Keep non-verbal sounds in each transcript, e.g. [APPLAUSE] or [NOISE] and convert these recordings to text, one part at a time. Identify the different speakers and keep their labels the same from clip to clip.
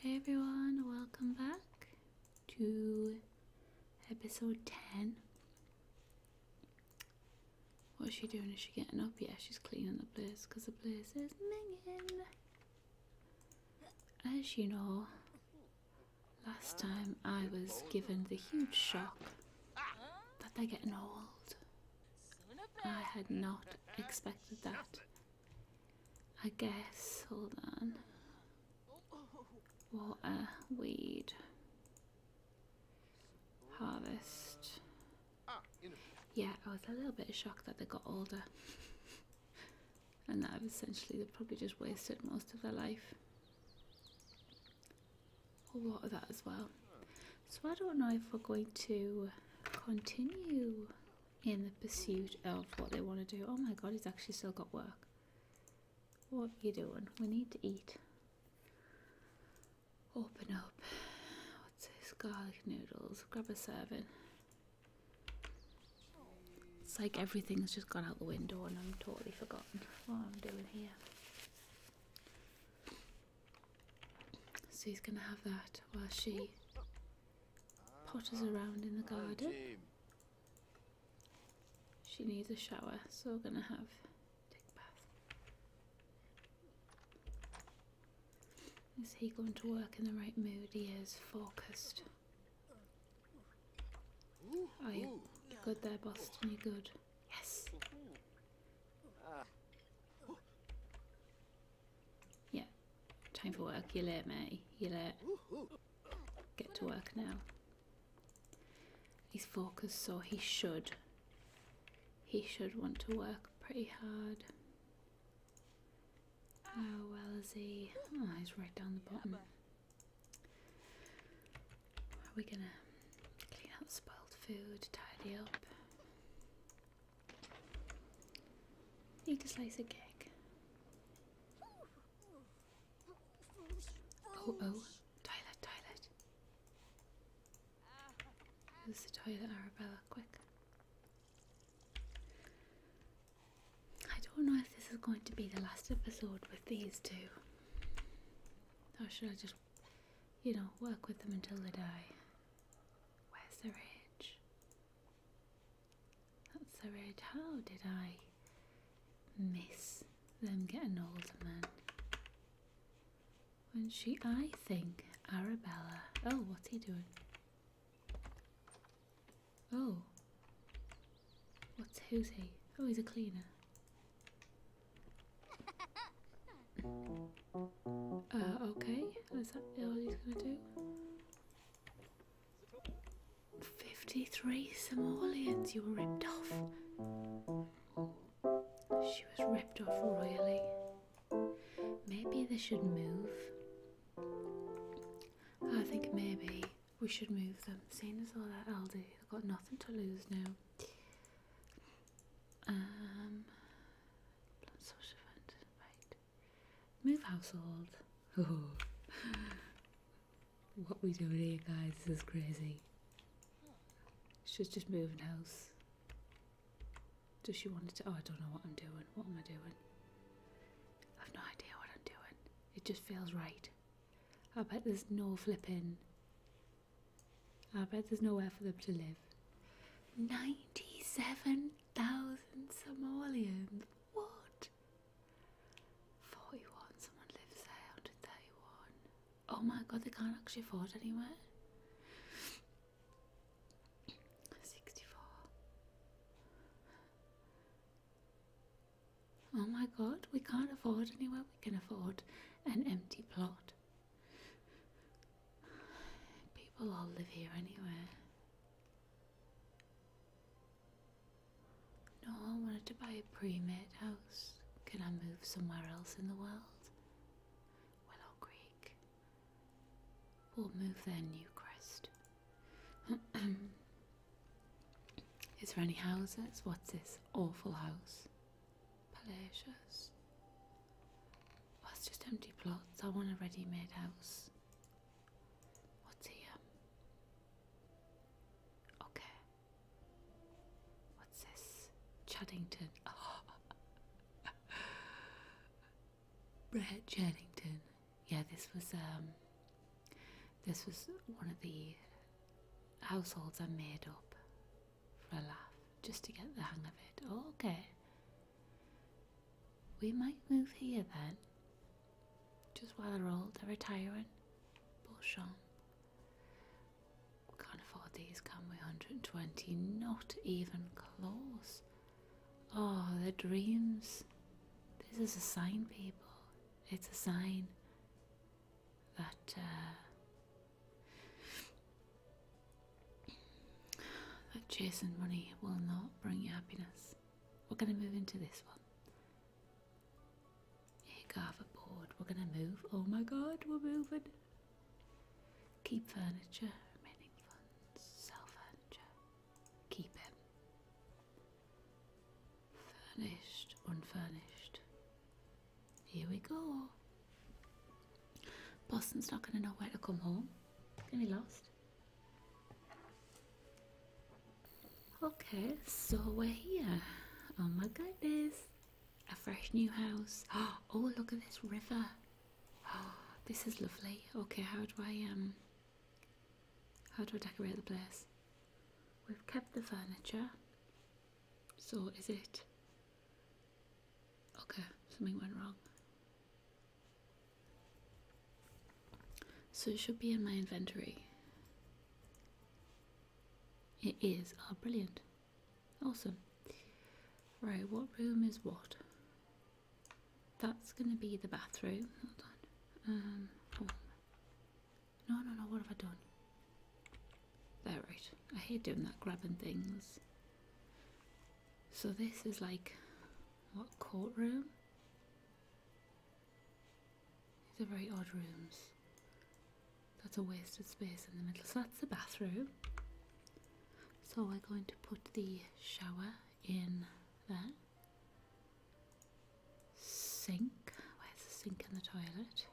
Speaker 1: Hey everyone, welcome back to episode 10. What's she doing? Is she getting up? Yeah, she's cleaning the place because the place is minging. As you know, last time I was given the huge shock that they're getting old. I had not expected that. I guess. Hold on. What a weed, harvest. Yeah, I was a little bit shocked that they got older. [LAUGHS] and that essentially they probably just wasted most of their life. I'll water that as well. So I don't know if we're going to continue in the pursuit of what they want to do. Oh my god, he's actually still got work. What are you doing? We need to eat. Open up. What's this? Garlic noodles. Grab a serving. It's like everything's just gone out the window and I'm totally forgotten what I'm doing here. So he's going to have that while she potters around in the garden. She needs a shower, so we're gonna have a take bath. Is he going to work in the right mood? He is focused. Are you good there, Boston? You are good? Yes. Yeah, time for work. You're late, mate. You're late. Get to work now. He's focused, so he should. He should want to work pretty hard. How well is he? Oh, he's right down the bottom. Are we gonna clean out spoiled food, tidy up? Make a slice a cake. Oh oh, toilet, toilet. Use the toilet, Arabella, quick. I don't know if this is going to be the last episode with these two. Or should I just, you know, work with them until they die? Where's the ridge? That's the road. How did I miss them getting older, man? When she, I think, Arabella. Oh, what's he doing? Oh. What's who's he? Oh, he's a cleaner. [LAUGHS] Uh, okay. What's that all he's gonna do? 53 Somalians you were ripped off. She was ripped off royally. Maybe they should move. I think maybe we should move them. Seeing as all that Aldi, got nothing to lose now. Um, right. Move household. [LAUGHS] what we doing here, guys? This is crazy. She's just moving house. Does she want to? Oh, I don't know what I'm doing. What am I doing? I've no idea what I'm doing. It just feels right. I bet there's no flipping. I bet there's nowhere for them to live. 97 thousand Somalians. What? Forty-one. Someone lives there. Hundred thirty-one. Oh my God! They can't actually afford anywhere. Sixty-four. Oh my God! We can't afford anywhere. We can afford an empty plot. People all live here anyway. No, I wanted to buy a pre-made house. Can I move somewhere else in the world? Willow Creek. We'll move there, Newcrest. [CLEARS THROAT] Is there any houses? What's this awful house? Palacios. Well, it's just empty plots. I want a ready-made house. What's he, um, Okay. What's this? Chaddington. Oh. [LAUGHS] Brett Chaddington. Yeah, this was, um, this was one of the households I made up for a laugh just to get the hang of it. okay. We might move here then, just while they're old, they're retiring. Bullshon. can't afford these, can we? 120, not even close. Oh, the dreams. This is a sign, people. It's a sign that uh, that chase and money will not bring you happiness. We're going to move into this one. Here, board. We're going to move. Oh my god, we're moving. Keep furniture, remaining funds, sell furniture, keep it. Furnished, unfurnished. Here we go. Boston's not going to know where to come home. He's going to be lost. Okay, so we're here. Oh my goodness. A fresh new house. [GASPS] Oh, look at this river. [GASPS] this is lovely. Okay, how do I um how do I decorate the place? We've kept the furniture. So is it Okay, something went wrong. So it should be in my inventory. It is. Ah, oh, brilliant. Awesome. Right, what room is what? That's going to be the bathroom. Hold on. Um, oh. No, no, no, what have I done? There, right. I hate doing that, grabbing things. So this is like what courtroom? These are very odd rooms. That's a wasted space in the middle. So that's the bathroom. So we're going to put the shower in there. Sink. Where's the sink and the toilet?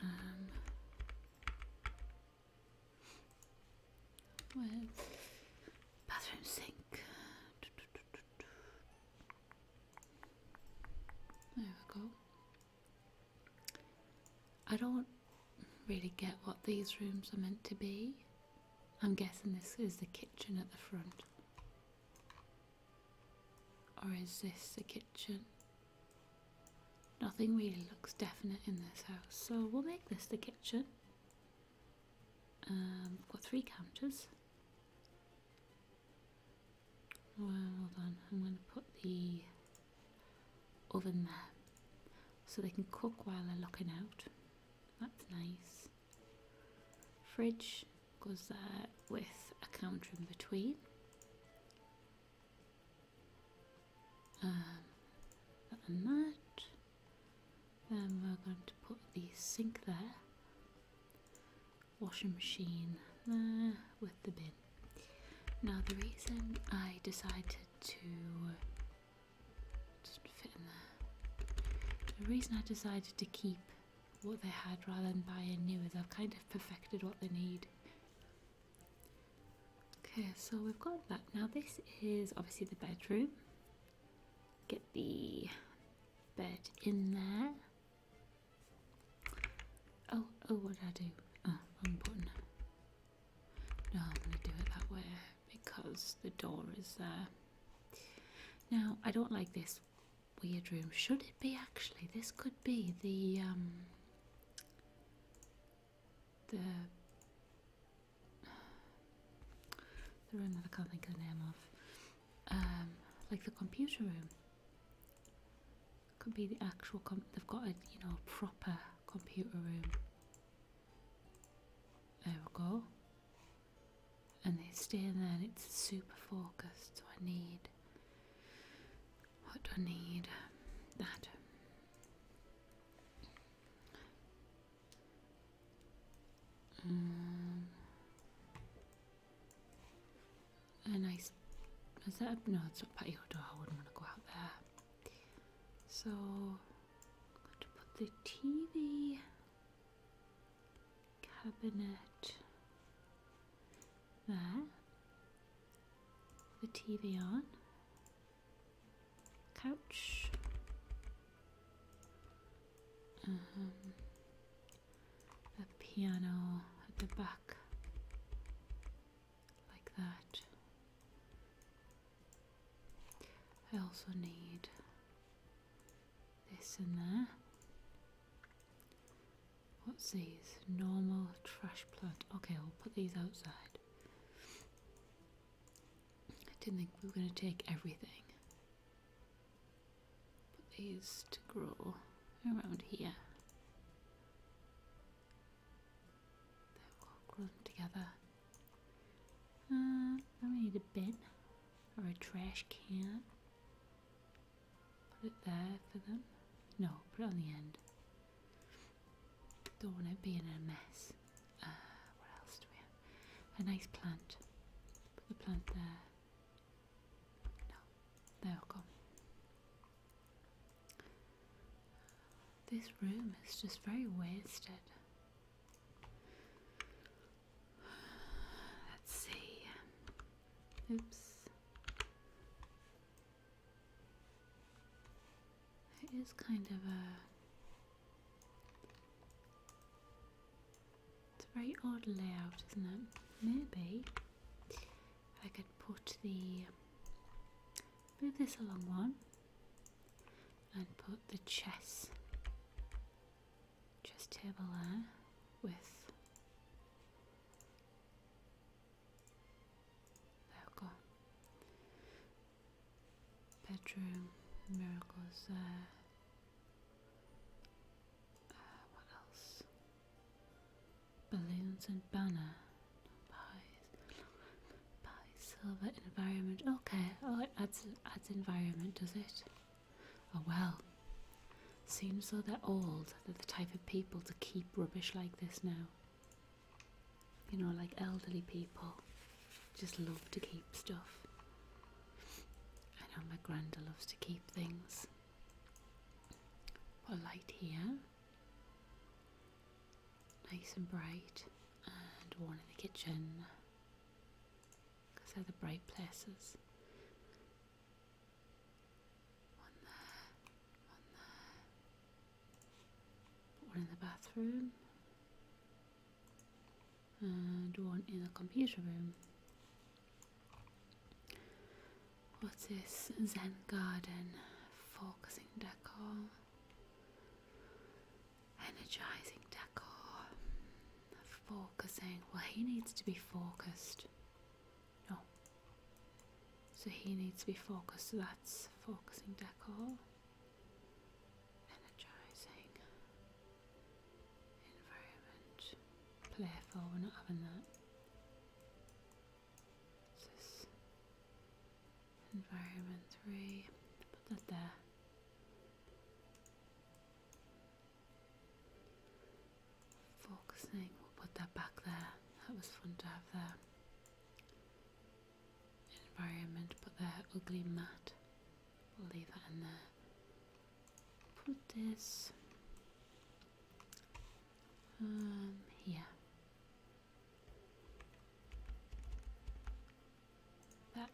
Speaker 1: Um, well, bathroom sink. There we go. I don't really get what these rooms are meant to be. I'm guessing this is the kitchen at the front. Or is this the kitchen? Nothing really looks definite in this house, so we'll make this the kitchen. I've um, got three counters. Well, hold on, I'm going to put the oven there so they can cook while they're looking out. That's nice. Fridge goes there with a counter in between. Um, that then we're going to put the sink there, washing machine there with the bin. Now the reason I decided to just fit in there. The reason I decided to keep what they had rather than buying new is I've kind of perfected what they need. Okay, so we've got that. Now this is obviously the bedroom. Get the bed in there. Oh, oh, what did I do? Oh, wrong button. No, I'm going to do it that way because the door is there. Now, I don't like this weird room. Should it be actually? This could be the um, [SIGHS] the room that I can't think the name of, um, like the computer room. could be the actual. Com they've got a you know proper computer room. There we go. And they stay in there, and it's super focused. So I need. What do I need? That. Um, a nice. Is that a, no? It's not patio door. I wouldn't want to go out there. So, I'm going to put the TV cabinet there. The TV on couch. Um, a piano at the back, like that. I also need this in there. What's these? Normal trash plant. Okay, I'll put these outside. I didn't think we were going to take everything. Put these to grow around here. There, will grow together. Uh, I need a bin or a trash can. Put it there for them. No, put it on the end. Don't want it being a mess. Uh, what else do we have? A nice plant. Put the plant there. No, there we go. This room is just very wasted. Let's see. Oops. It is kind of a it's a very odd layout, isn't it? Maybe I could put the move this along one and put the chess chess table there with there we go bedroom, miracles uh, uh, what else? Balloons and banner. Pies. silver, environment. Okay, oh, it adds, adds environment, does it? Oh well. Seems though they're old, they're the type of people to keep rubbish like this now. You know, like elderly people just love to keep stuff. I know my granda loves to keep things. Put a light here. Nice and bright. And one in the kitchen. Because they're the bright places. One there, one there, one in the bathroom. And one in the computer room. What's this? Zen Garden. Focusing decor. Energizing decor. Focusing. Well, he needs to be focused. No. So he needs to be focused. So that's focusing decor. Energizing environment. Playful, we're not having that. What's Environment 3. Put that there. Focusing, we'll put that back there. That was fun to have there environment, but they're ugly matte. We'll leave that in there. Put this um, here. That.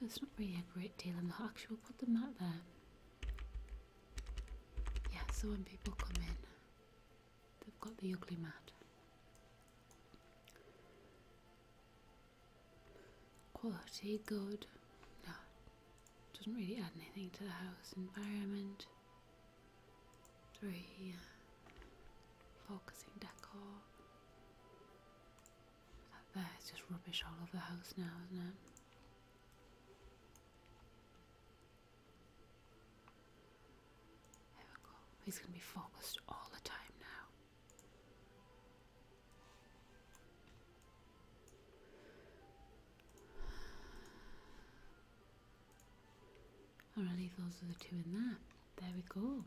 Speaker 1: There's not really a great deal in the actual. Put the mat there. Yeah, so when people come in, They've got the ugly mat. Quality good. doesn't really add anything to the house environment. Three. Uh, focusing decor. That there is just rubbish all over the house now, isn't it? He's going to be focused all the time now. Already, those are the two in there. There we go.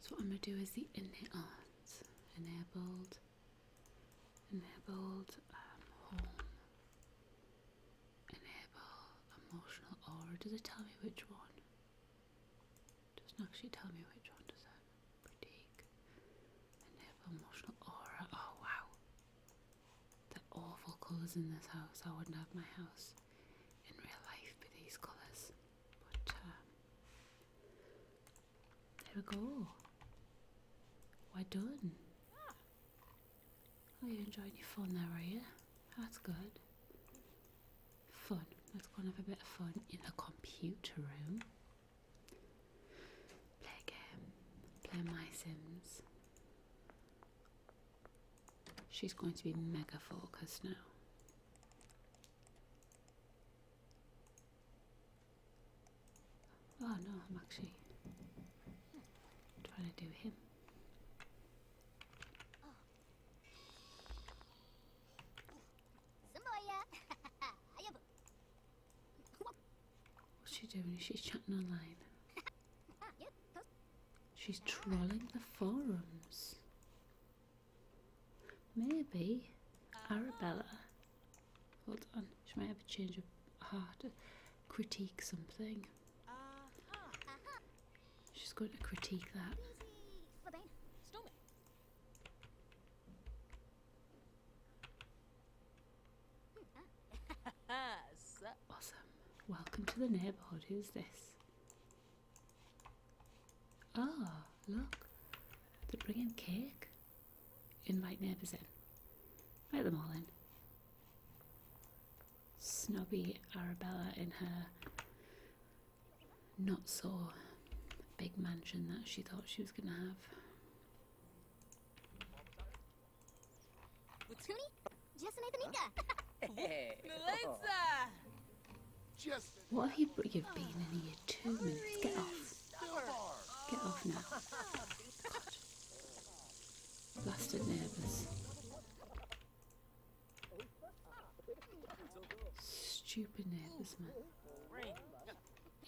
Speaker 1: So what I'm going to do is the enable, enabled, enabled um, home. Enable emotional aura. Does it tell me which one? doesn't actually tell me which one, does it? Critique. Enable emotional aura. Oh wow. The awful colours in this house. I wouldn't have my house in real life be these colours. But um, there we go. We're done. Ah. Are oh, you enjoying your fun there, are you? That's good. Fun. Let's go and have a bit of fun in the computer room. Play game. Play My Sims. She's going to be mega focused now. Oh no, I'm actually trying to do him. Semuanya. Ayo, What's she doing? She's chatting online. She's trolling the forums. Maybe Arabella. Hold on, she might have a change her heart. Critique something. She's going to critique that. Awesome. Welcome to the neighbourhood. Who's this? Ah, look. They're bringing cake. Invite neighbours in. Let them all in snobby Arabella in her not so big mansion that she thought she was going to have. [LAUGHS] What have you been in here two minutes? Get off. Get off now. [LAUGHS] Blasted neighbours. Stupid neighbours, man.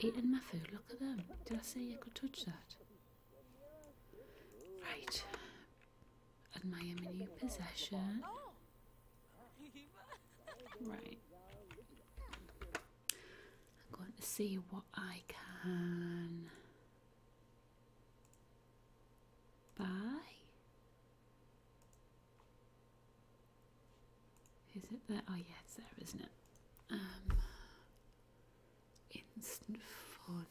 Speaker 1: Eating my food, look at them. Did I say you could touch that? Right. Admire my new possession. Right. I'm going to see what I can Bye. Is it there? Oh, yeah, it's there, isn't it? Um, instant fun.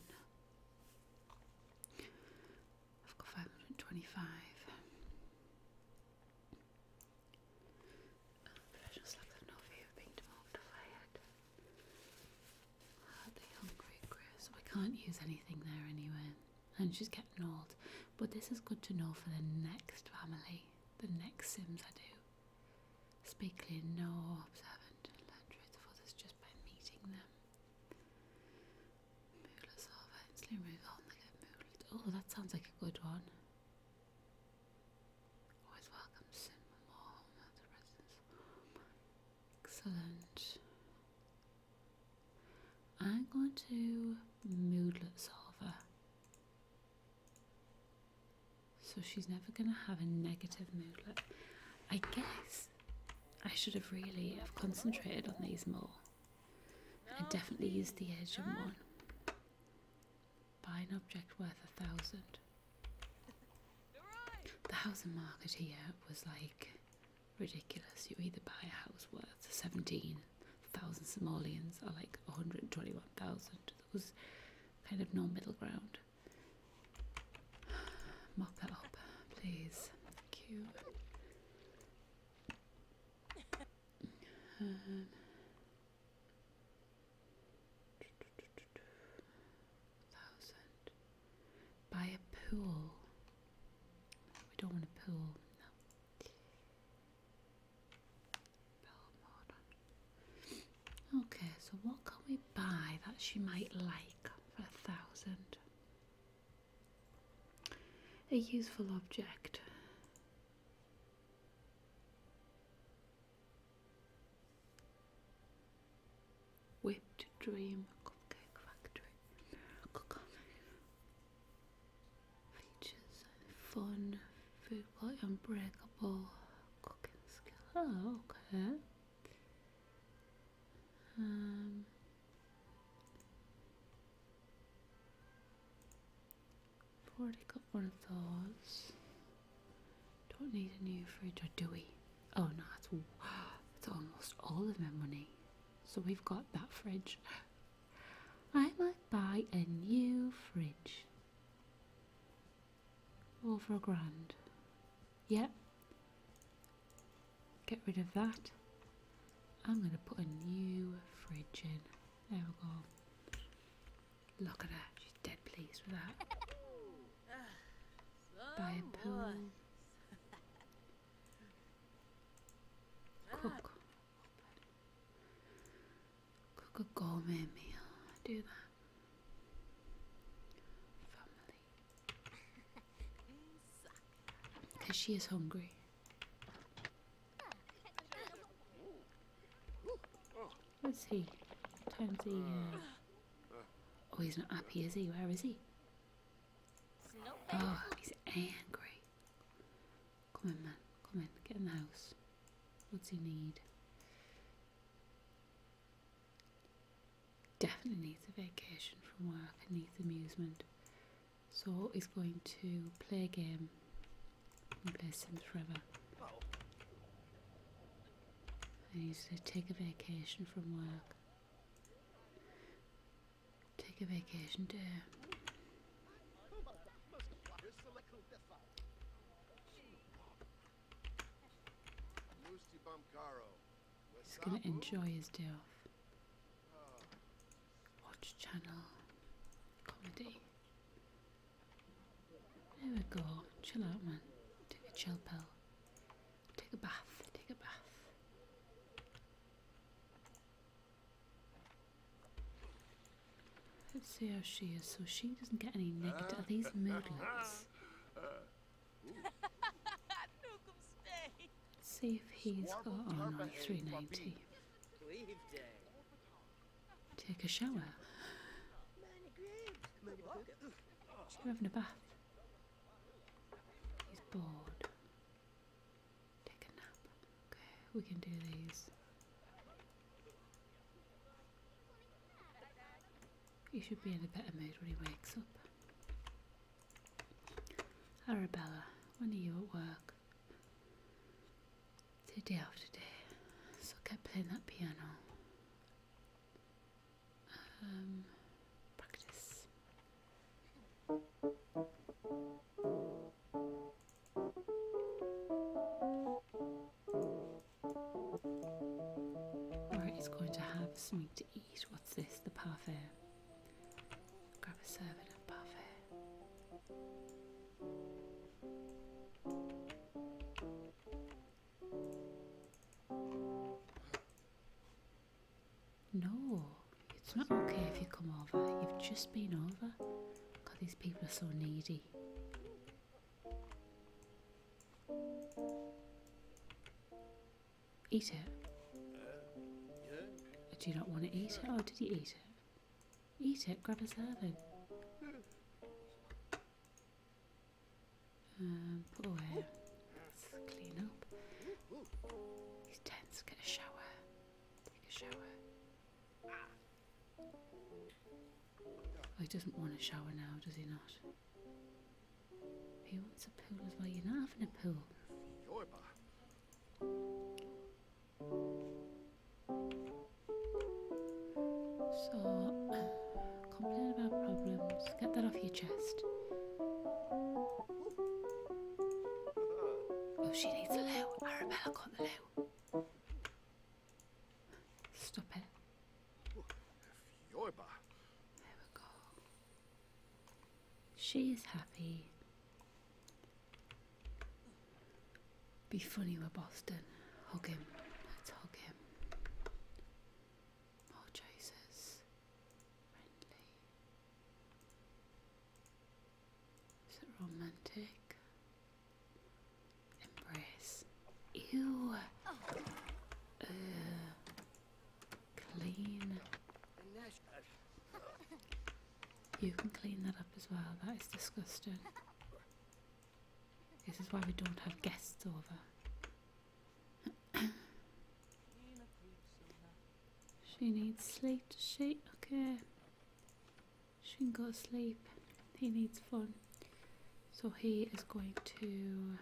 Speaker 1: I've got 525. Professional slags have no fear of being demoted or fired. Hardly oh, hungry, Chris. We can't use anything there anyway. And she's getting old. But this is good to know for the next family, the next Sims I do. Speak clear, no observant, and learn truth others just by meeting them. Oh, that sounds like a good one. Always welcome Sim Excellent. I'm going to moodlet solver. So she's never going to have a negative moodlet. I guess I should have really have concentrated on these more. I definitely used the edge of one. Buy an object worth a thousand. The housing market here was like ridiculous. You either buy a house worth 17,000 simoleons or like 121,000. It was kind of no middle ground. Mop that up, please. Thank you. Um, thousand by a pool. We don't want a pool, no. Okay, so what can we buy that she might like for a thousand? A useful object. Whipped Dream Cupcake Factory features fun food quality unbreakable cooking skill. Oh, okay. Um, i got one of those. Don't need a new fridge, or do we? Oh no, that's, [GASPS] that's almost all of my money. So we've got that fridge. [GASPS] I might buy a new fridge. All for a grand. yeah. Get rid of that. I'm going to put a new fridge in. There we go. Look at that. She's dead pleased with that. [LAUGHS] by a pool. Cook. Cook a gourmet meal. do that. Because [LAUGHS] she is hungry. Let's see. Time's the Oh, he's not happy, is he? Where is he? Oh, he's angry. Come in, man. Come in. Get in the house. What's he need? Definitely needs a vacation from work and needs amusement. So he's going to play a game and play Sims forever. I need to take a vacation from work. Take a vacation day. He's gonna enjoy his day off. Watch channel. Comedy. There we go. Chill out, man. Take a chill pill. Take a bath, take a bath. Let's see how she is, so she doesn't get any negative. Are these moodlets? let [LAUGHS] see if he's got on oh, 390. Take a shower. You're having a bath. He's bored. Take a nap. Okay, we can do these. He should be in a better mood when he wakes up. Arabella, when are you at work? Day after day. So I kept playing that piano. Um, practice. Alright, he's going to have something to eat. What's this? The parfait. Grab a serving of parfait. No, it's not okay if you come over. You've just been over. God, these people are so needy. Eat it. Uh, did you not want to eat it? or oh, did you eat it? Eat it, grab a serving. [LAUGHS] Um, put oh, away. Let's clean up. These tents. Get a shower. Take a shower. Oh, doesn't want a shower now, does he not? He wants a pool as You're not having a pool. So. [CLEARS THROAT] Complain about problems. Get that off your chest. Oh, she needs a loo. Arabella got the loo. Stop it. There we go. She is happy. Be funny with Boston. Hug him. Let's hug him. More oh, chasers. Is it romantic? Embrace. Ew. clean. You can clean that up as well. That is disgusting. This is why we don't have guests over. [COUGHS] she needs sleep, does she? Okay. She can go to sleep. He needs fun. So he is going to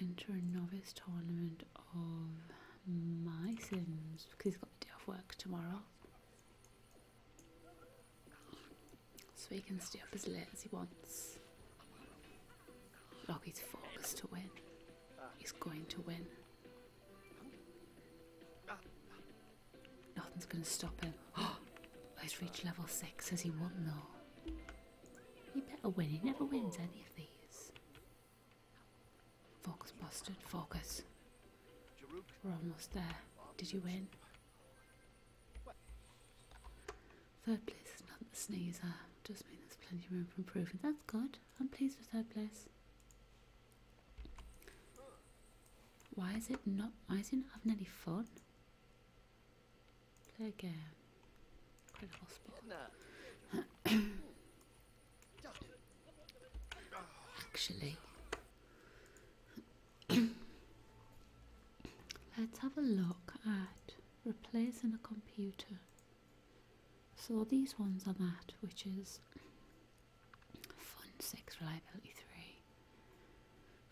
Speaker 1: enter a novice tournament of my sims because he's got a day off work tomorrow. So he can stay up as late as he wants. Loggie's focused to win. He's going to win. Nothing's going to stop him. [GASPS] he's reached level 6. as he won though? He better win. He never wins any of these. Focus, Boston. Focus. We're almost there. Did you win? Third place is not the sneezer. Just means there's plenty of room for improvement. That's good. I'm pleased with third place. Why is it not? Why is it not having any fun? Play again. Incredible sport. Actually. [COUGHS] Let's have a look at replacing a computer. So these ones are that, which is fun 6, reliability 3,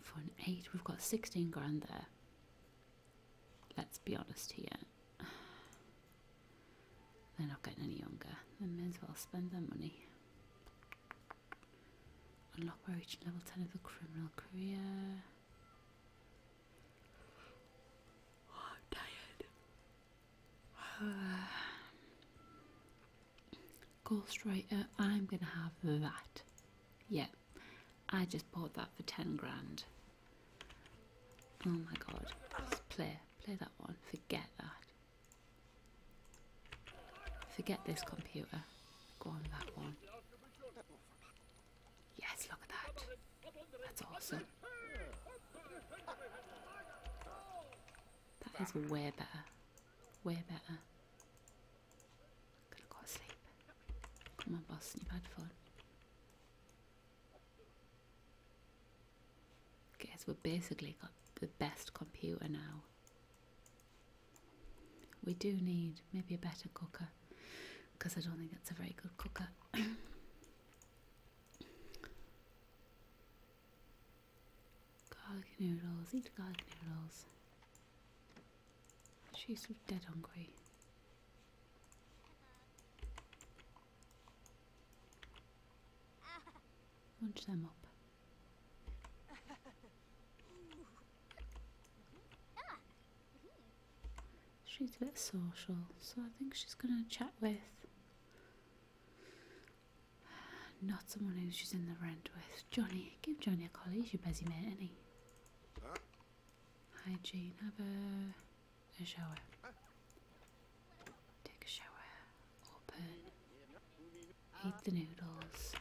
Speaker 1: fun 8. We've got 16 grand there. Let's be honest here. [SIGHS] They're not getting any younger. They may as well spend their money. Unlock by reaching level 10 of the criminal career. Oh, i [SIGHS] Ghostwriter, I'm gonna have that. Yeah, I just bought that for 10 grand. Oh my god. let play. Play that one. Forget that. Forget this computer. Go on that one. Yes, look at that. That's awesome. That is way better. Way better. Gonna go to sleep. Come on, boss, you had fun. Guess we've basically got the best computer now. We do need maybe a better cooker because I don't think that's a very good cooker. [COUGHS] garlic noodles, eat garlic noodles. She's dead hungry. Munch them up. She's a bit social, so I think she's going to chat with not someone who's just in the rent with. Johnny, give Johnny a call. He's your busy mate, isn't he? Huh? Hygiene. Have a, a shower. Take a shower. Open. Eat the noodles.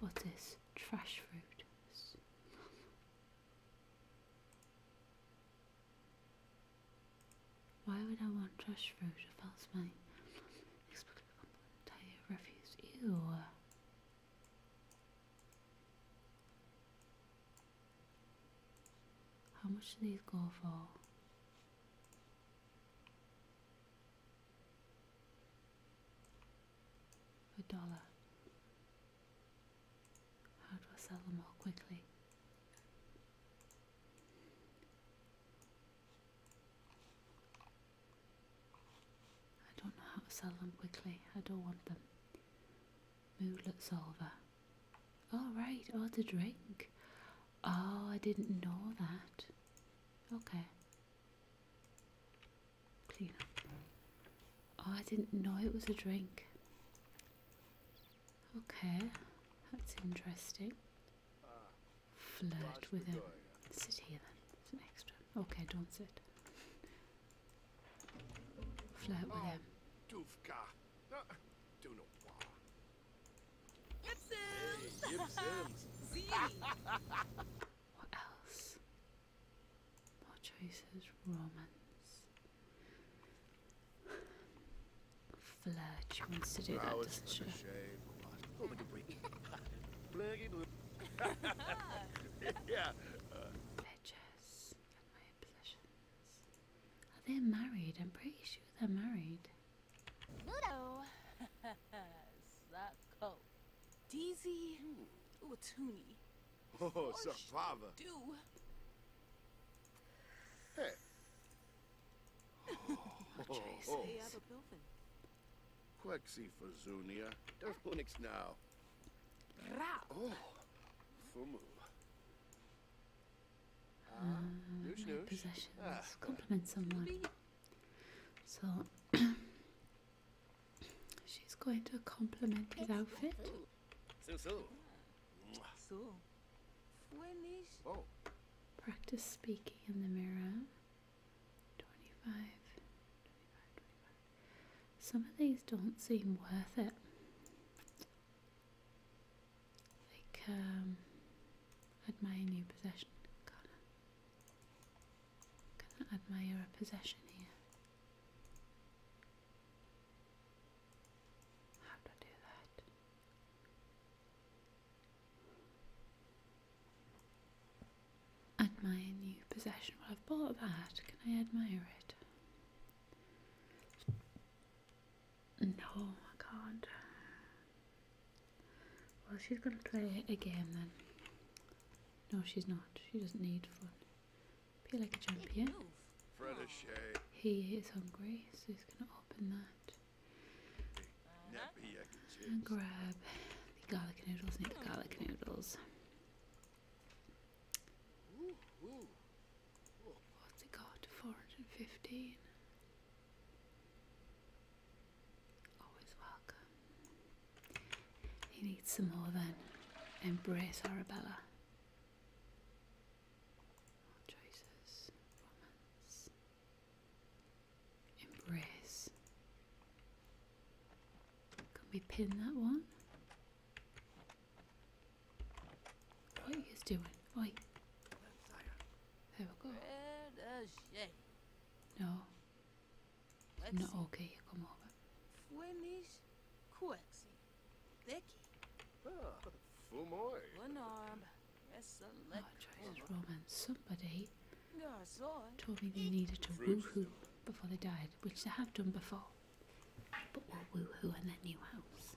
Speaker 1: What is trash fruit? Why would I want trash fruit if that's my entire refuse? Ew. How much do these go for? A dollar. How do I sell them all quickly? I don't know how to sell them quickly. I don't want them. Moodlet solver. All oh, right. Oh, drink. Oh, I didn't know that. Okay. Clean up. Oh, I didn't know it was a drink. Okay, that's interesting. Flirt with him. Sit here then. It's an extra. Okay, don't sit. Flirt with ah, him what else? More choices. Romance. Flirt. She wants to do that, doesn't she? yeah. Pledges Are they married? I'm pretty sure they're married. Ludo! Sako. Deezy Uatuni. Oh, Sapava. Do. Hey. oh, oh. Quexi Fazunia. Darmonix now. Rao. Oh. Fumu uh, possessions. Ah. Compliment someone. So [COUGHS] she's going to compliment his outfit. Practice speaking in the mirror. 25. Some of these don't seem worth it. Like, um, admire new possession. Gonna, admire a possession here. How do I do that? Admire new possession. Well, I've bought that. Can I admire it? No, I oh can't. Well, she's going to play a game then. No, she's not. She doesn't need fun. Be like a champion. He is hungry, so he's going to open that. And grab the garlic noodles. Need garlic noodles. What's it got? 415. Always welcome. He needs some more then. Embrace Arabella. choices. Romance. Embrace. Can we pin that one? What are doing? Oi. There we go. No. No, okay, come over. Winnie's Quixie. Vicky. Ah, Fumoy. One arm. Oh, Jesus, Roman. Somebody told me they needed to woohoo before they died, which they have done before. But what woo woohoo in their new house.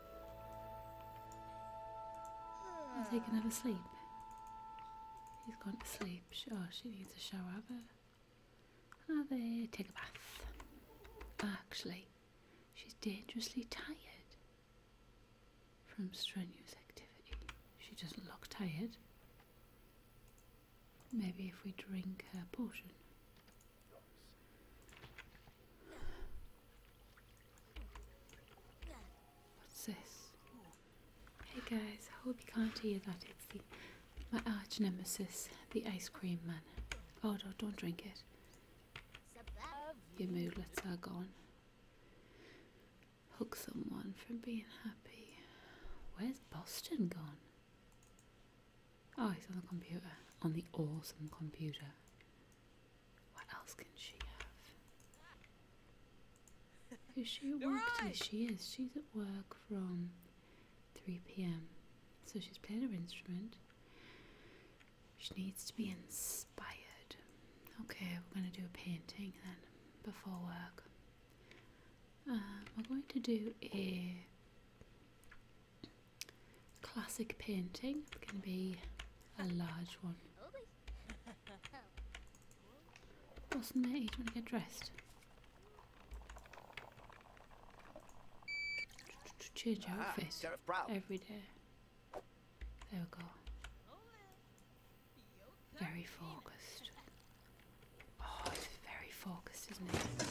Speaker 1: I'll take another sleep. He's gone to sleep. Sure, oh, she needs a shower, but another take a bath. Actually, she's dangerously tired from strenuous activity. She doesn't look tired. Maybe if we drink her potion. What's this? Hey guys, I hope you can't hear that. It's the, my arch nemesis, the ice cream man. Oh no, don't drink it. Your moodlets are gone. Hook someone from being happy. Where's Boston gone? Oh, he's on the computer. On the awesome computer. What else can she have? Is she at work today? She is. She's at work from 3 pm. So she's playing her instrument. She needs to be inspired. Okay, we're going to do a painting then before work. Uh, we're going to do a classic painting. It's going to be a large one. Wilson, mate, you want to get dressed? Change ah, outfit every day. There we go. Very focused. Oh, it's very focused, isn't it?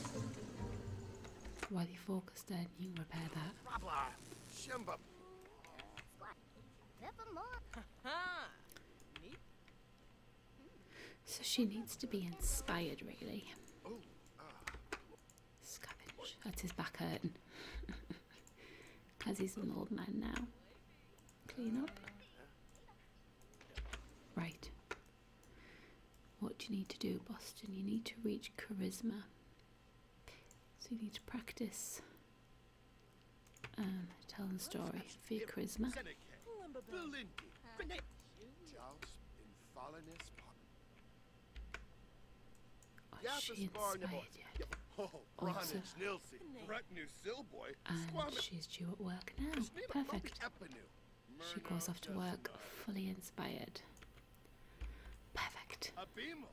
Speaker 1: While you're focused, then you repair that. So she needs to be inspired, really. Scavenge. That's oh, his back hurting. As [LAUGHS] he's an old man now. Clean up. Right. What do you need to do, Boston? You need to reach charisma. So you need to practice um, telling the story for your charisma. Oh, she inspired you. [LAUGHS] Oh, and she's due at work now. Perfect. She goes off to work fully inspired. Perfect.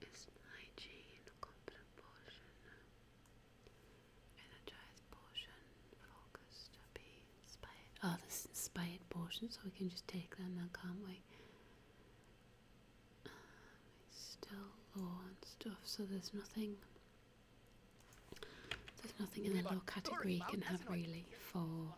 Speaker 1: hygiene competent portion, energized portion, focused, happy, inspired. Oh, this inspired portion, so we can just take them then, can't we? Um, still law and stuff, so there's nothing. There's nothing in the low category you can have really for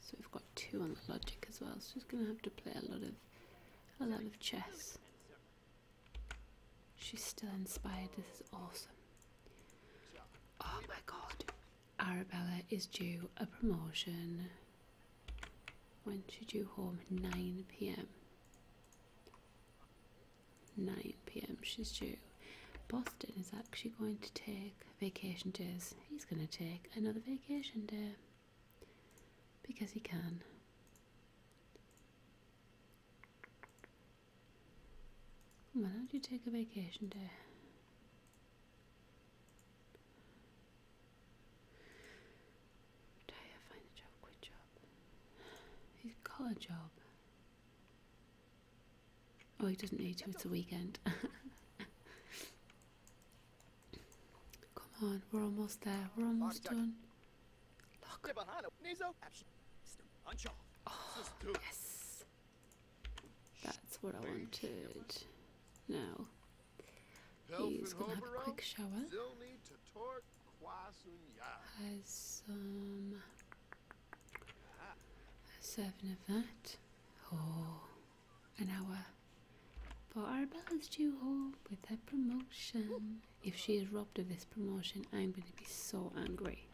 Speaker 1: So we've got two on the logic as well, She's gonna have to play a lot of a lot of chess. She's still inspired, this is awesome. Oh my god. Arabella is due a promotion. When should you home? 9 pm. 9 pm she's due. Boston is actually going to take vacation days. He's going to take another vacation day because he can. Why don't you take a vacation day? Retire, find a job, quit job. He's got a job. Oh, he doesn't need to, it's a weekend. [LAUGHS] Come on, we're almost there, we're almost done. Oh, yes. That's what I wanted. Now, he's going to have a quick shower. Has some... Um, of that. Oh an hour. For Arabella is due home with her promotion. If she is robbed of this promotion, I'm going to be so angry.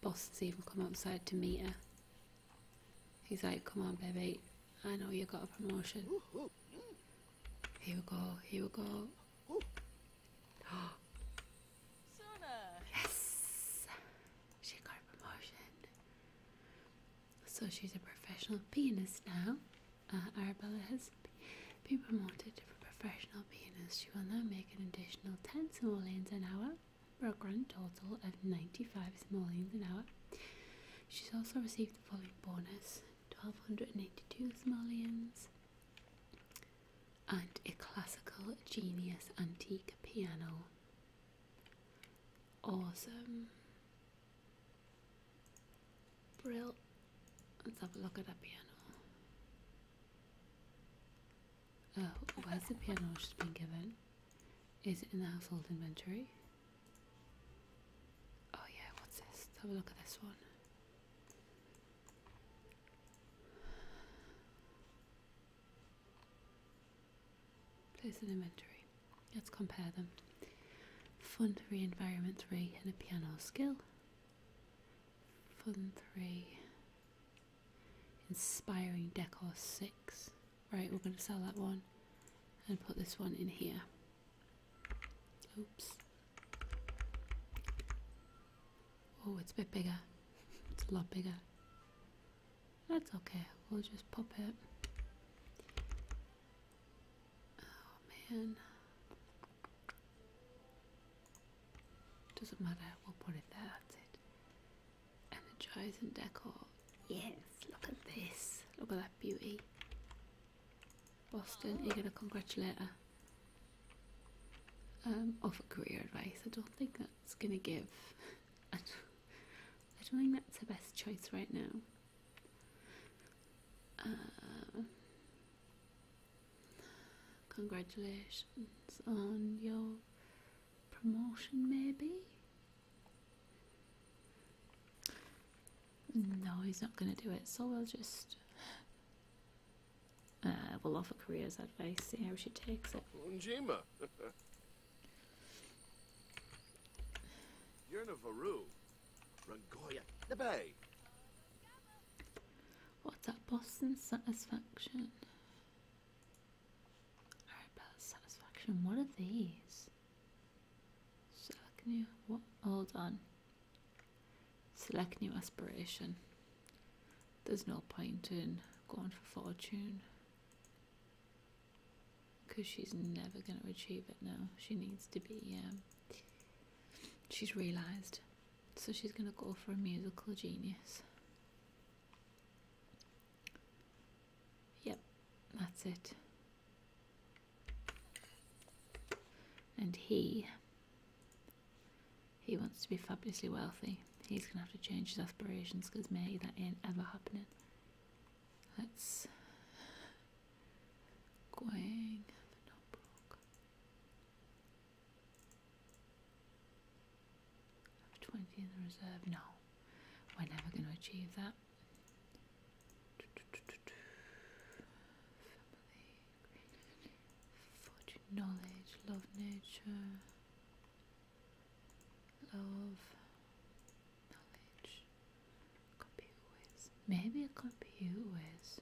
Speaker 1: Boss has even come outside to meet her. He's like, come on, baby. I know you got a promotion. Here we go, here we go. [GASPS] yes! She got a promotion. So she's a professional pianist now. Uh, Arabella has been promoted to a professional pianist. She will now make an additional 10 simoleons an hour for a grand total of 95 simoleons an hour. She's also received the following bonus 1282 simoleons and a classical genius antique piano. Awesome. Brill. Let's have a look at that piano. Oh, where's the piano just has been given? Is it in the household inventory? Oh yeah, what's this? Let's have a look at this one. Place an inventory. Let's compare them. Fun 3, Environment 3, and a piano skill. Fun 3, Inspiring Decor 6. Right, we're going to sell that one and put this one in here. Oops. Oh, it's a bit bigger. It's a lot bigger. That's okay. We'll just pop it. Oh man. Doesn't matter. We'll put it there. That's it. Energize decor. Yes. Look at this. Look at that beauty. Boston, you're gonna congratulate her. Um, offer career advice. I don't think that it's gonna give. [LAUGHS] I don't think that's the best choice right now. Uh, congratulations on your promotion, maybe? No, he's not gonna do it, so we'll just. Uh, we'll offer Korea's advice, see how she takes it. [LAUGHS] You're in a Yernavaru, Rangoya, the Bay. What's that? Boston Satisfaction? Arabella Satisfaction, what are these? Select new, what? Hold on. Select new aspiration. There's no point in going for fortune because she's never going to achieve it now. She needs to be, um, she's realised. So she's going to go for a musical genius. Yep, that's it. And he, he wants to be fabulously wealthy. He's going to have to change his aspirations because maybe that ain't ever happening. That's going the notebook. 20 in the reserve. No, we're never going to achieve that. Family, fortune, knowledge, love, nature love knowledge compute with maybe compute with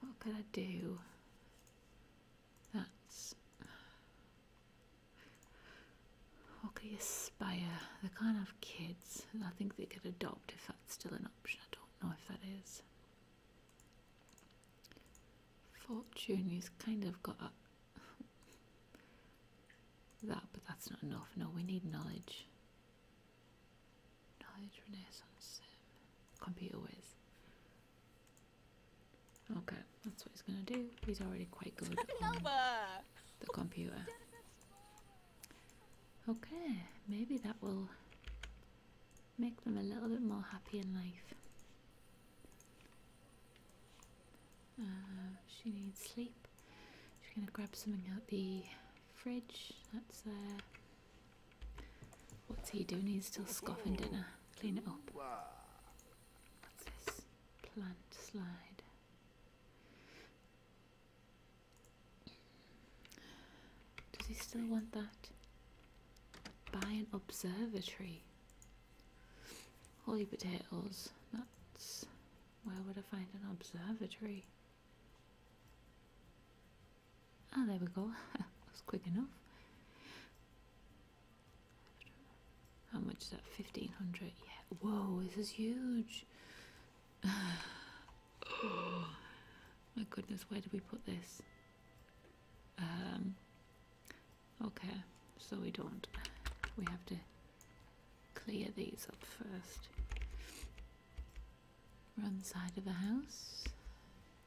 Speaker 1: what could I do that's what could you aspire the kind have kids I think they could adopt if that's still an option I don't know if that is Fortune, he's kind of got [LAUGHS] that, but that's not enough. No, we need knowledge. Knowledge, Renaissance, um, computer whiz. Okay, that's what he's gonna do. He's already quite good the computer. Okay, maybe that will make them a little bit more happy in life. Uh, she needs sleep. She's gonna grab something out the fridge. That's uh, what's he doing? He's still scoffing dinner. Clean it up. What's this? Plant slide. Does he still want that? Buy an observatory. Holy potatoes. Nuts. Where would I find an observatory? Ah, there we go. [LAUGHS] that was quick enough. How much is that? 1500 Yeah. Whoa, this is huge. oh, [SIGHS] my goodness, where do we put this? Um, okay, so we don't. We have to clear these up first. We're on the side of the house.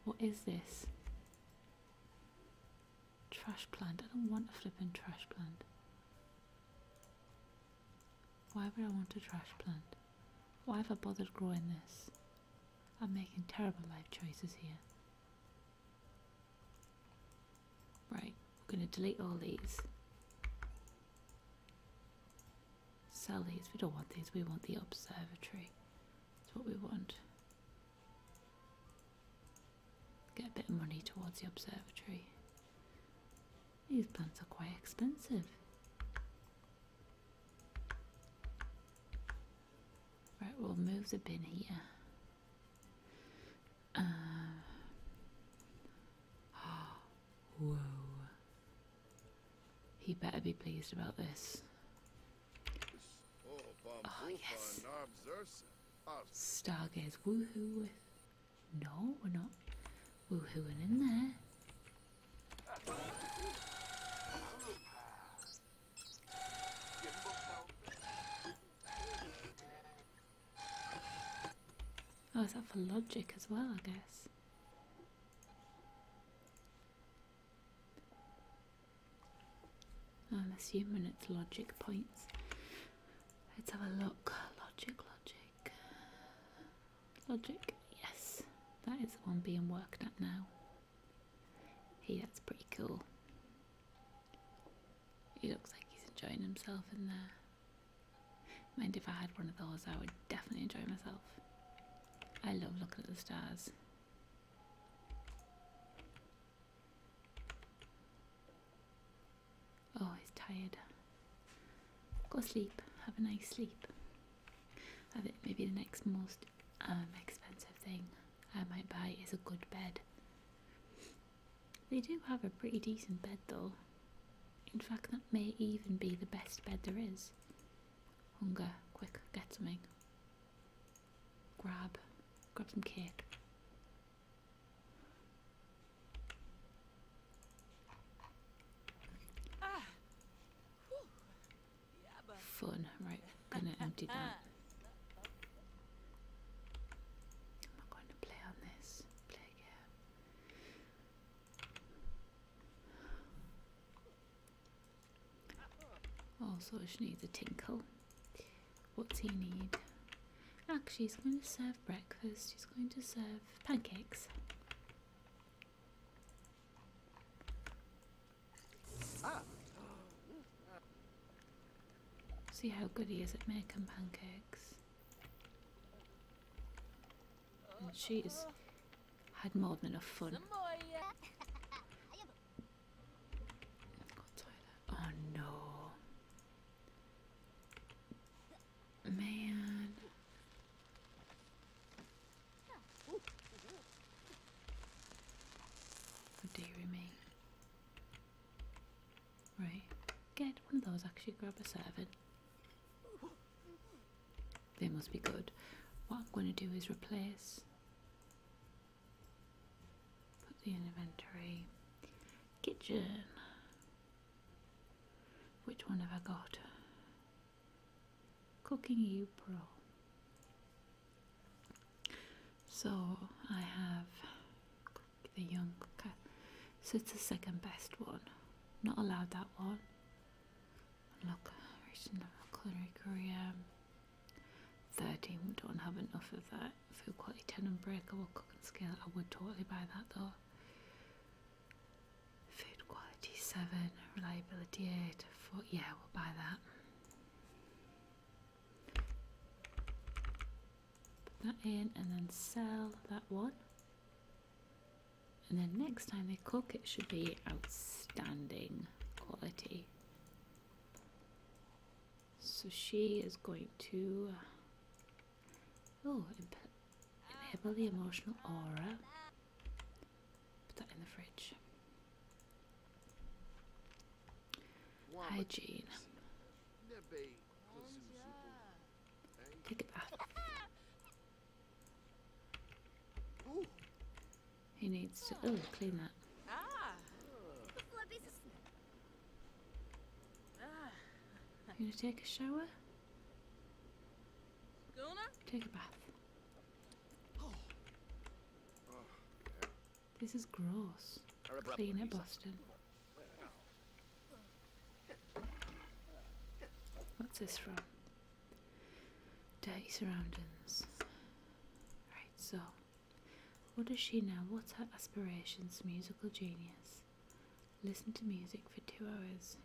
Speaker 1: What is this? Trash plant. I don't want a flipping trash plant. Why would I want a trash plant? Why have I bothered growing this? I'm making terrible life choices here. Right, we're going to delete all these. Sell these. We don't want these. We want the observatory. That's what we want. Get a bit of money towards the observatory. These plants are quite expensive. Right, we'll move the bin here. Uh, [GASPS] whoa. He better be pleased about this. Oh, oh yes. Stargaze. Woohoo. No, we're not woohooing in there. Oh, is that for logic as well, I guess? Oh, I'm assuming it's logic points. Let's have a look. Logic, logic. Logic, yes. That is the one being worked at now. Hey, that's pretty cool. He looks like he's enjoying himself in there. Mind if I had one of those, I would definitely enjoy myself. I love looking at the stars. Oh, he's tired. Go sleep. Have a nice sleep. I think maybe the next most um, expensive thing I might buy is a good bed. They do have a pretty decent bed though. In fact, that may even be the best bed there is. Hunger, quick, get something. Grab, grab some cake. Fun. Right, gonna empty that. Am I going to play on this? Play again. Also, she needs a tinkle. What's he need? Actually, he's going to serve breakfast. She's going to serve pancakes. See how good he is at making pancakes. And she's had more than enough fun. Oh no. Man. Or do you mean Right. Get one of those, actually grab a servant. They must be good. What I'm going to do is replace. Put the inventory. Kitchen. Which one have I got? Cooking You Pro. So I have the young cooker. So it's the second best one. Not allowed that one. And look, original culinary career. 13, we don't have enough of that. Food quality 10 unbreakable cooking scale. I would totally buy that though. Food quality 7, reliability 8. Four, yeah, we'll buy that. Put that in and then sell that one. And then next time they cook, it should be outstanding quality. So she is going to. Uh, oh, enable the emotional aura. Put that in the fridge. Hygiene. Take a bath. He needs to. Oh, clean that. You gonna take a shower? Take a bath. This is gross. Clean it, Boston. What's this from? Dirty surroundings. Right, so. What does she know? What's her aspirations? Musical genius. Listen to music for two hours.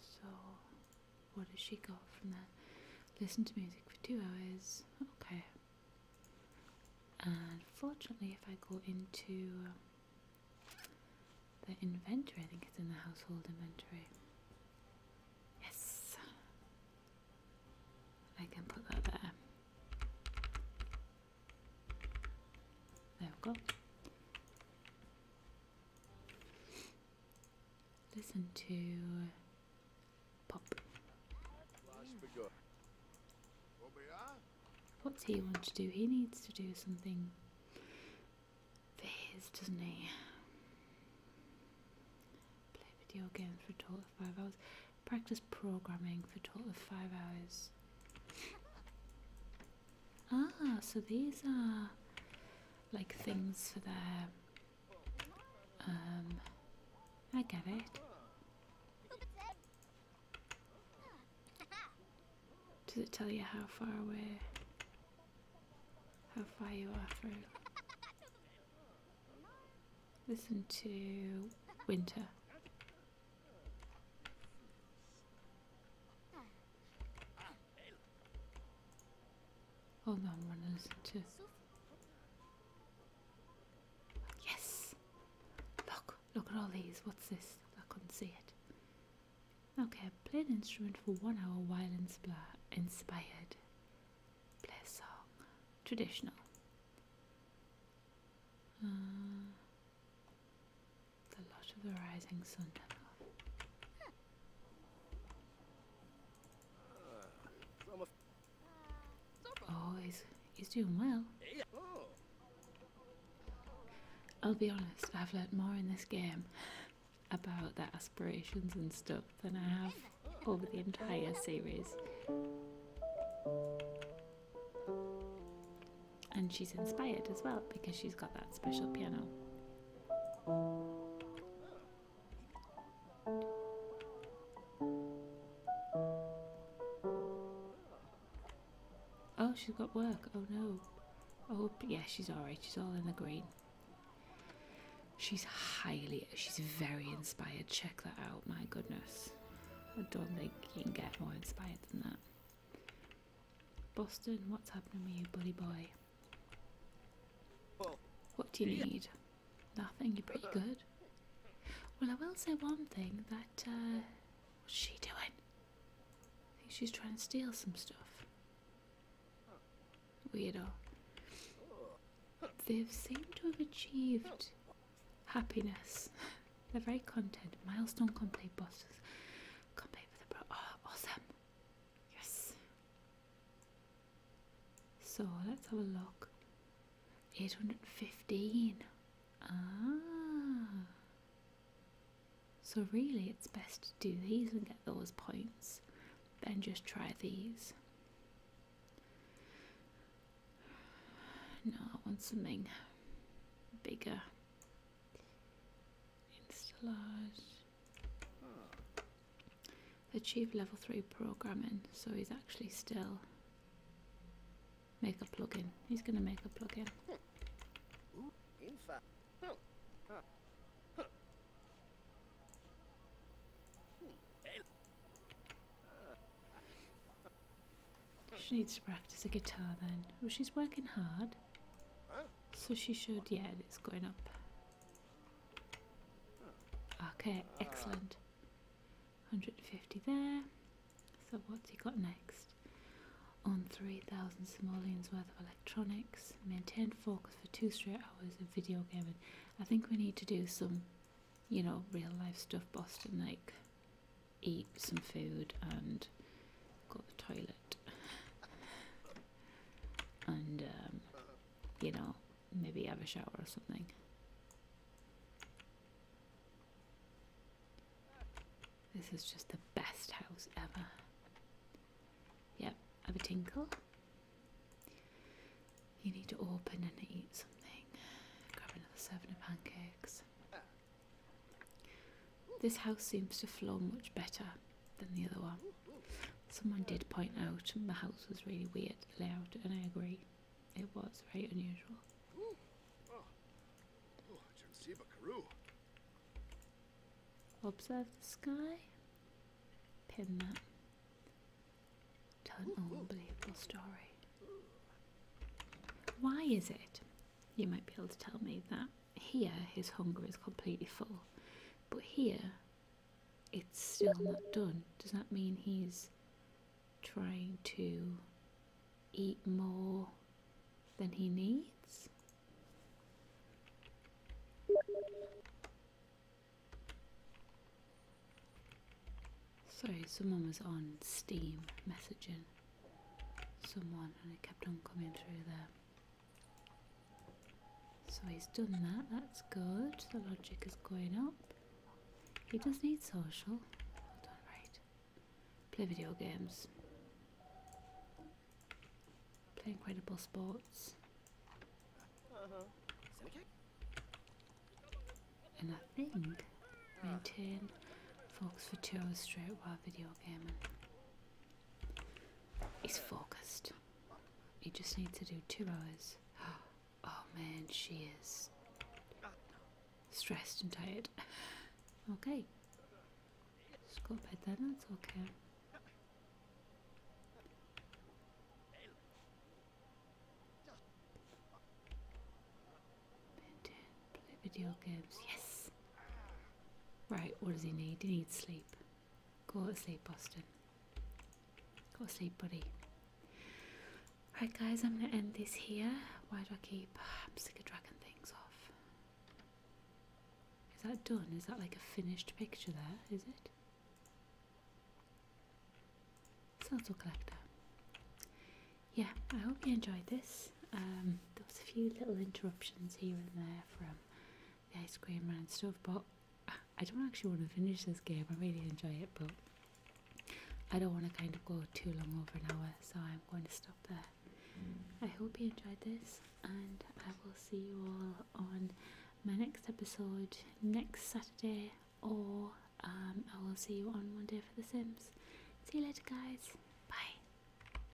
Speaker 1: So, what does she got from that? Listen to music for two hours. Okay. And if I go into um, the inventory, I think it's in the household inventory. Yes! I can put that there. There we go. Listen to pop. What's he want to do? He needs to do something for his, doesn't he? Play video games for a total of five hours. Practice programming for a total of five hours. Ah, so these are like things for the. Um, I get it. Does it tell you how far away, how far you are through? Listen to winter. Hold on, one is two. Yes! Look, look at all these. What's this? I couldn't see it. Okay, play an instrument for one hour Violin inspired. Play a song. Traditional. Uh, the Lodge of the Rising Sun Oh, he's, he's doing well. I'll be honest, I've learnt more in this game about their aspirations and stuff than I have over the entire series and she's inspired as well because she's got that special piano. Oh, she's got work. Oh no. Oh, yeah, she's alright. She's all in the green. She's highly, she's very inspired. Check that out. My goodness. I don't think you can get more inspired than that. Boston, what's happening with you, buddy boy? What do you need? Nothing, you're pretty good. Well, I will say one thing that, uh, what's she doing? I think she's trying to steal some stuff. Weirdo. They've seemed to have achieved happiness. [LAUGHS] They're very content. Milestone complete, bosses. Complete for the bro. Oh, awesome. Yes. So let's have a look. 815. Ah. So really it's best to do these and get those points. Then just try these. No, I want something bigger. Achieve level 3 programming, so he's actually still make a plugin. He's going to make a plugin. She needs to practice the guitar then. Oh, she's working hard. So she showed, yeah, it is going up. Okay, excellent. 150 there. So what's he got next? On 3,000 simoleons worth of electronics. Maintain focus for two straight hours of video gaming. I think we need to do some, you know, real life stuff, Boston, like eat some food and Go to the toilet and um, you know maybe have a shower or something this is just the best house ever yep have a tinkle you need to open and eat something grab another serving of pancakes this house seems to flow much better than the other one. Someone did point out the house was really weird layout, and I agree, it was very unusual. Observe the sky. Pin that. Tell an unbelievable story. Why is it you might be able to tell me that here his hunger is completely full, but here it's still not done. Does that mean he's trying to eat more than he needs? Sorry, someone was on Steam messaging someone and it kept on coming through there. So he's done that, that's good. The logic is going up. He does need social. Hold right. Play video games. Play incredible sports. Uh-huh. And I think maintain focus for two hours straight while video gaming. He's focused. He just needs to do two hours. [GASPS] Oh man, she is stressed and tired. [LAUGHS] Okay. Just go bed then, that's okay. Maintain, play video games, yes! Right, what does he need? He needs sleep. Go to sleep, Boston. Go to sleep, buddy. Right, guys, I'm going to end this here. Why do I keep... Ah, I'm sick of things off. Is that done? Is that like a finished picture there? Is it? Snazzle Collector. Yeah, I hope you enjoyed this. Um, there was a few little interruptions here and there from the ice cream and stuff. But I don't actually want to finish this game. I really enjoy it, but I don't want to kind of go too long over an hour, so I'm going to stop there. I hope you enjoyed this, and I will see you all on my next episode next Saturday, or um, I will see you on Monday for The Sims. See you later, guys. Bye.